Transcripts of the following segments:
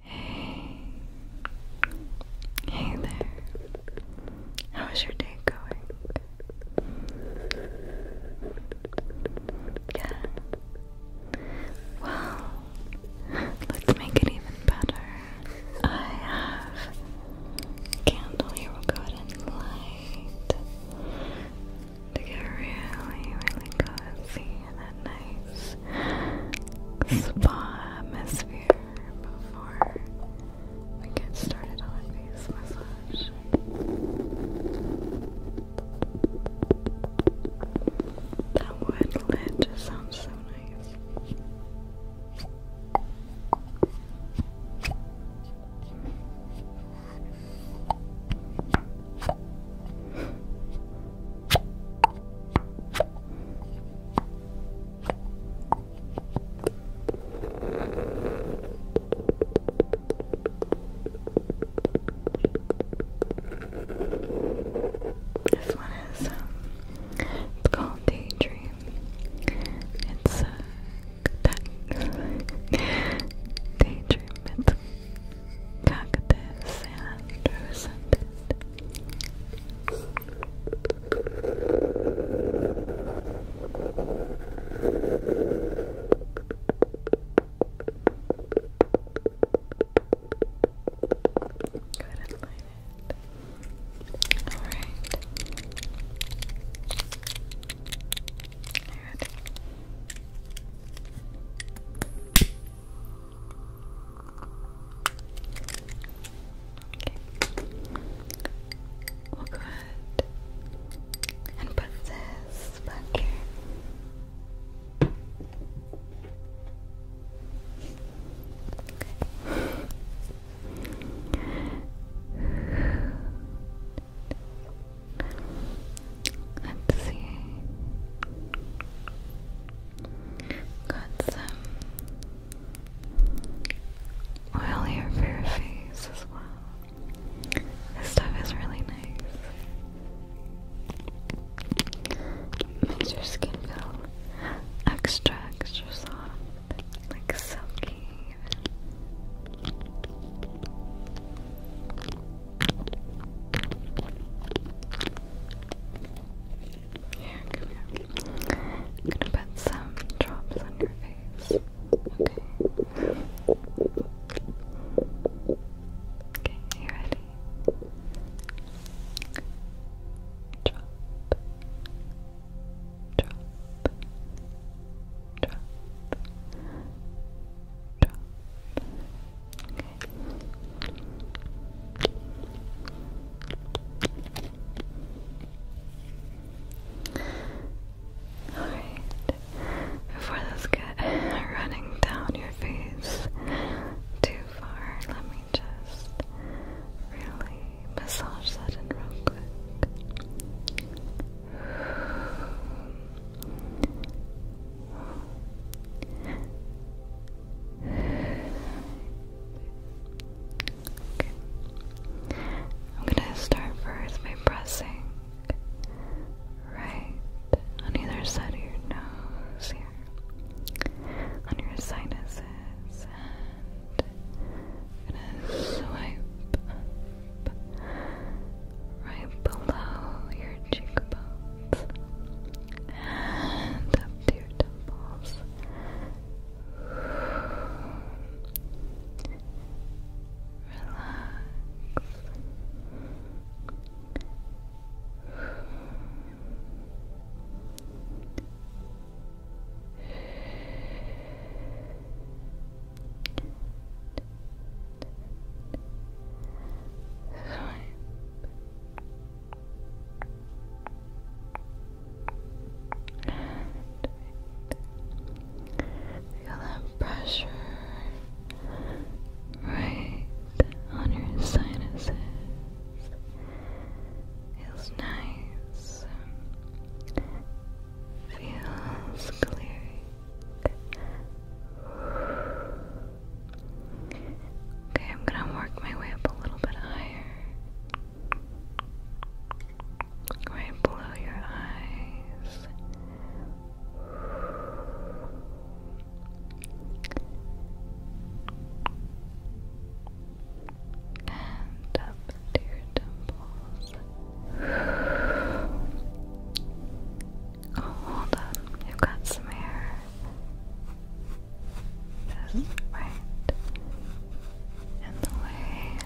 Hey. Hey there. How is your day going? Yeah. Well, let's make it even better. I have a candle here we'll go ahead and light to get really, really cozy and nice nice spa atmosphere before we get started on face massage. That wood lid sounds so nice. This one is um, it's called Daydream. It's uh, Daydream. It's Cactus and scented. Go ahead and light Alright. We'll go ahead and put this back here. Okay. Let's see. Got some oil here for your face as well. This stuff is really nice. Makes your skin feel extra, extra soft, like silky. I'm gonna put some drops on your face. Okay. Okay, you ready? Drop. Drop. Drop. Drop before those get running down your face too far, let me just really massage that in real quick. I'm gonna start first by pressing right on either side of your nose here, on your sinuses, and gonna swipe right below your cheekbones and up to your temples. Relax. Feel that pressure right on your sinuses. Feels nice. Feels clear. Okay, I'm gonna work my way up a little bit higher. Right below your eyes. And up your temples. Oh, hold on. You've got some hair. Just right in the way.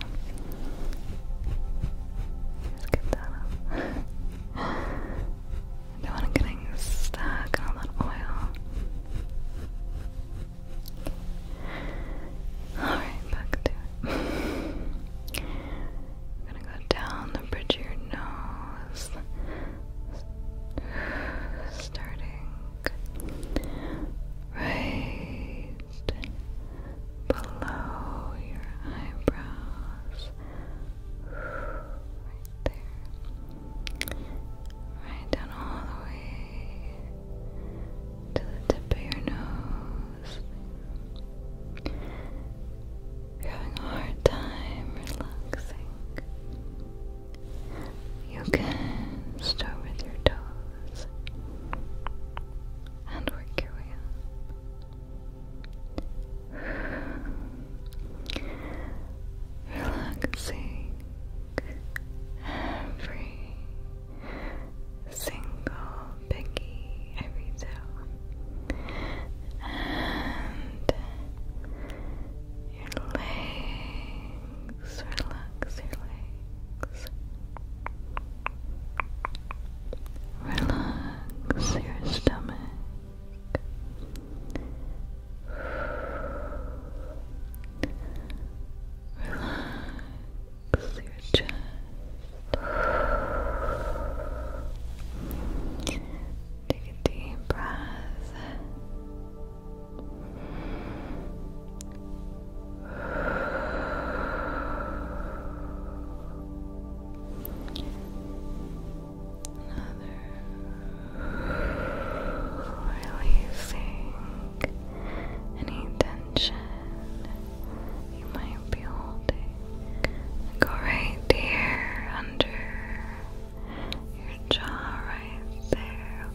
Just get that up. I don't want it getting stuck in that oil. Alright, back to it. I'm gonna go down the bridge of your nose. Starting right below your eyebrows. Right there. Right down all the way to the tip of your nose. You're having a hard time relaxing. You can start with your toes and work your way up. Relaxing every single picky every toe and your legs, relax your legs, relax your stomach. Relax your chest. Take a deep breath. Another releasing any tension you might be holding. Go right there, under your jaw, right there,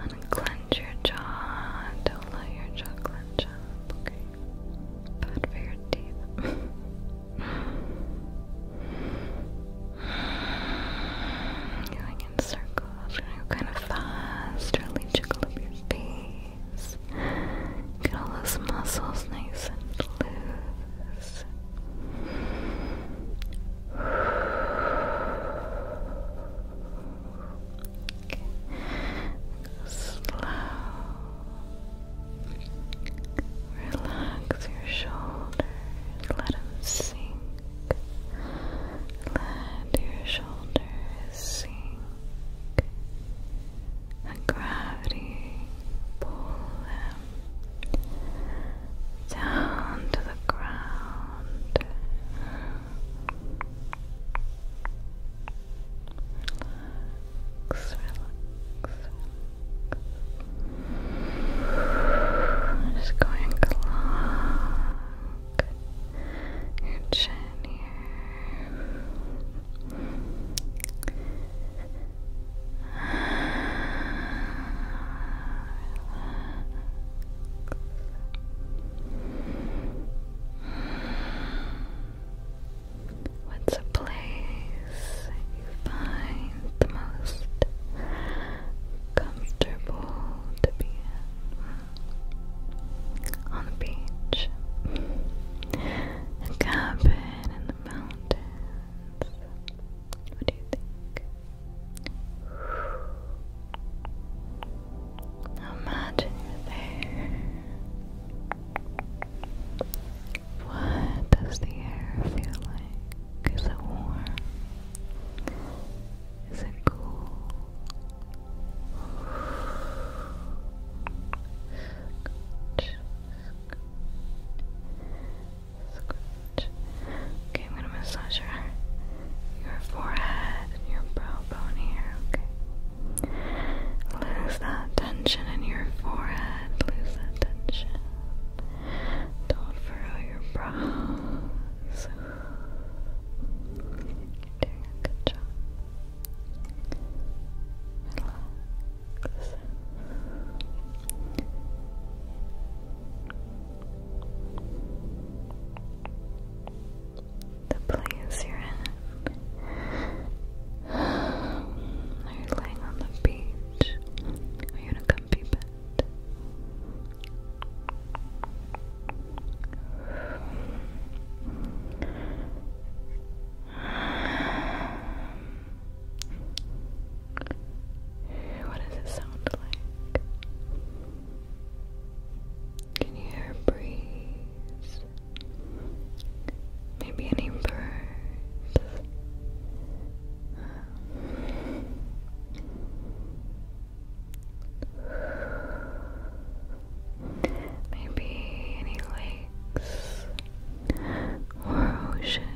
Unclench your jaw, don't let your jaw clench up, okay? Bad for your teeth. in circles. kind of fast, really jiggle up your face. Get all those muscles nice and loose. Okay. slow. Relax your shoulders. Let them sink. Let your shoulders sink. And gravity pull them down to the ground. Relax, I'm just going along neck, your chin here. What's a place you find the most comfortable to be in. On the beach, a cabin in the mountains. What do you think? Imagine you're there. What does the air feel like? Is it warm? Is it cool? Scratch, scratch. Okay, I'm gonna massage your, your forehead and your brow bone here, okay? Lose that tension in your forehead, lose that tension. Don't furrow your brows doing a good job. Relax. The place you're in. Are you laying on the beach? Are you in a comfy What does it sound like? Can you hear a breeze? Maybe any birds? Maybe any lakes or oceans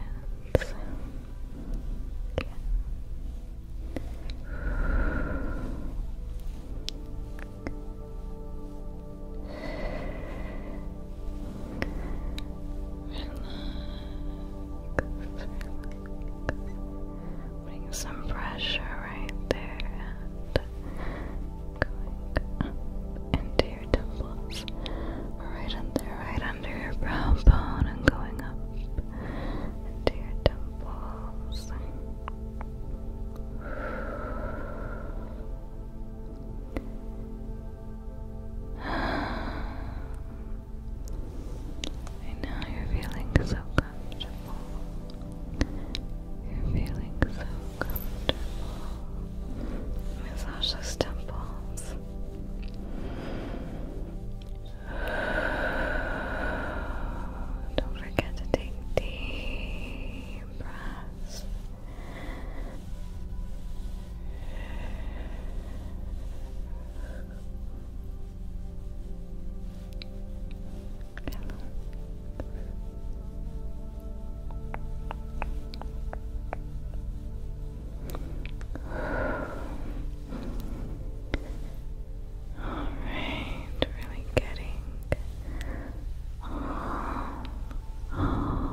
putting some pressure right there going up into your temples, right under, right under your brow bone, and going up into your temples. I know you're feeling so comfortable. You're feeling so comfortable. Massage those temples. Don't forget to take deep breaths. Hello. All right, really getting all, all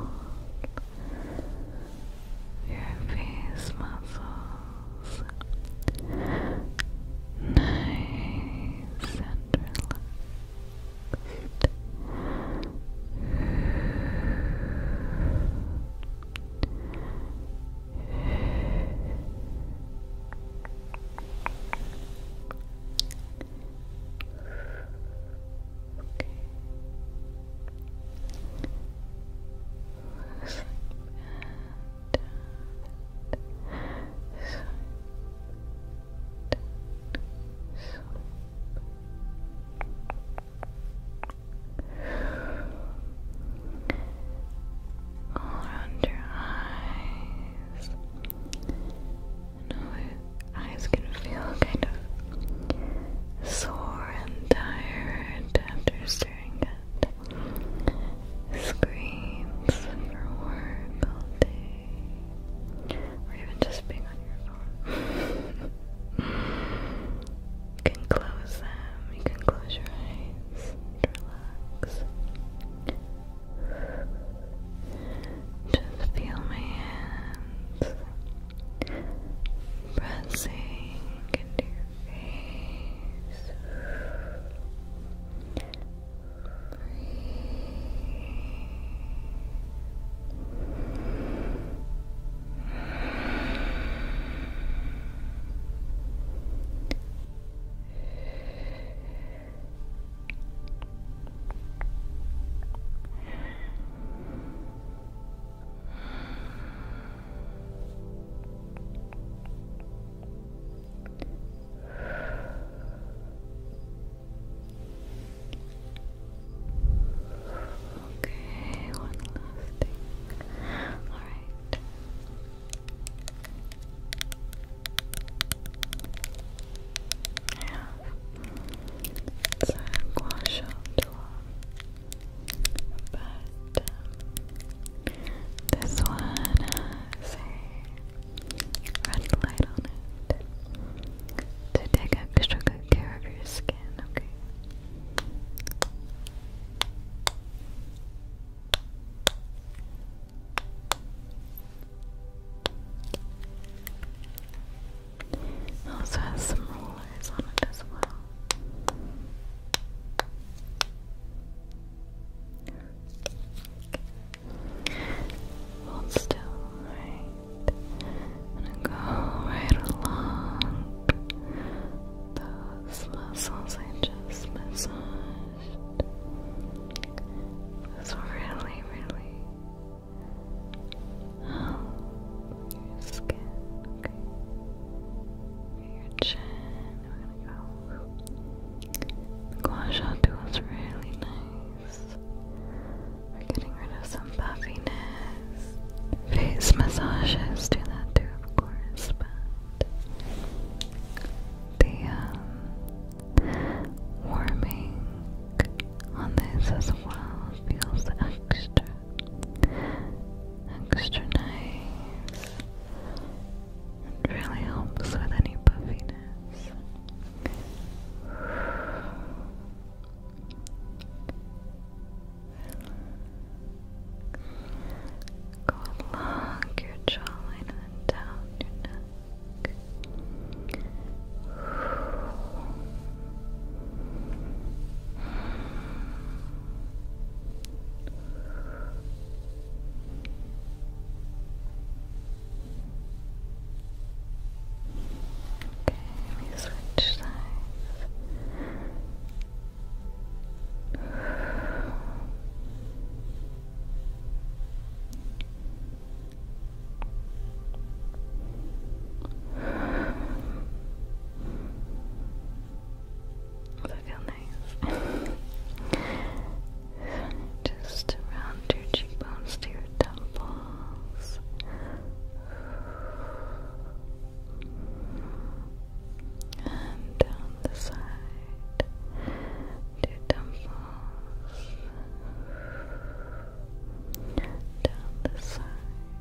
your face muscles. Nice and relaxed. Okay around your eyes. I know your eyes can feel kind of sore and tired after staring at screens for work all day, or even just being on your phone. you can close them, you can close your eyes, relax. Just feel my hands pressing into your face. Breathe. Okay, one last thing. All right. Yeah. It's a gua sha but um, this one has uh, a red light on it to take extra good care of your skin, okay? also has some rollers on it as well. Hold still, go right along those muscles I just massaged. It's really, really help skin. Okay. The gua sha tool's really nice. We're getting rid of some puffiness. Face massages do that too, of course, but the um, warming on this as well feels extra extra nice and really helps with any puffiness. Go along your jawline and down your neck. Okay, let me switch sides. Okay, does that feel nice? Just around your cheekbones to your temples. And down the side to temples. Down the side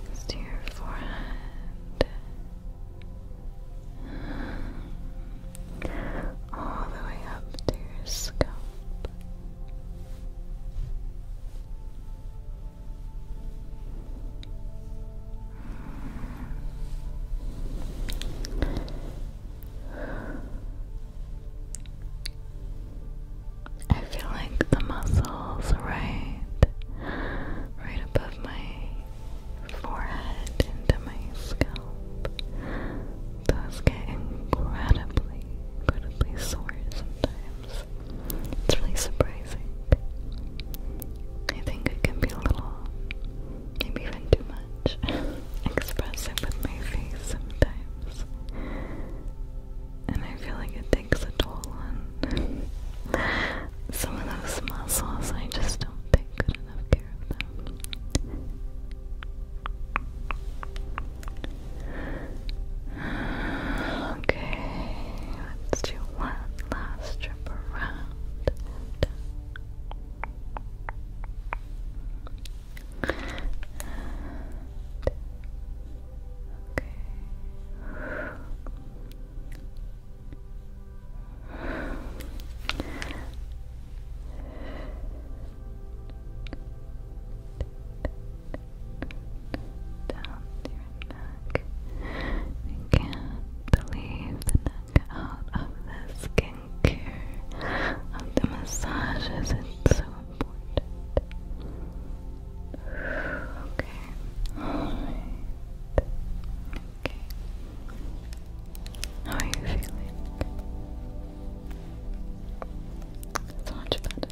Goes to your forehead, all the way up to your scalp. I feel like the muscles right right above my forehead into my scalp those get incredibly incredibly sore sometimes. It's really surprising. I think it can be a little, maybe even too much, expressive with my face sometimes. And I feel like it takes a toll on some of those muscles. I just don't take good enough care of them. Okay, let's do one last strip around and down. Down neck. can't believe the neck out of the skincare, of the massages, it's so important. Okay, Okay. How are you feeling? It's much better.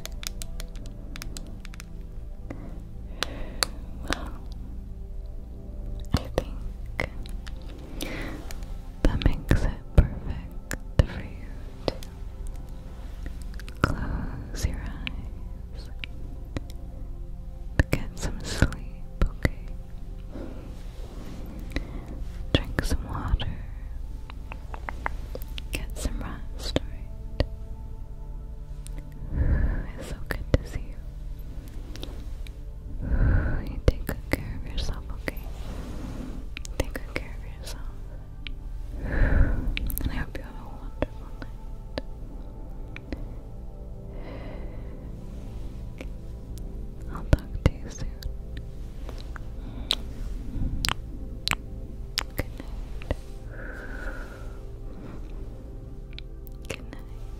Wow. I think that makes it perfect for you close your eyes get some sleep, okay? Drink some water, get some rest, It's so good to see you. You take good care of yourself, okay? Take good care of yourself. And I hope you have a wonderful night. I'll talk to you soon. Good night. Good night.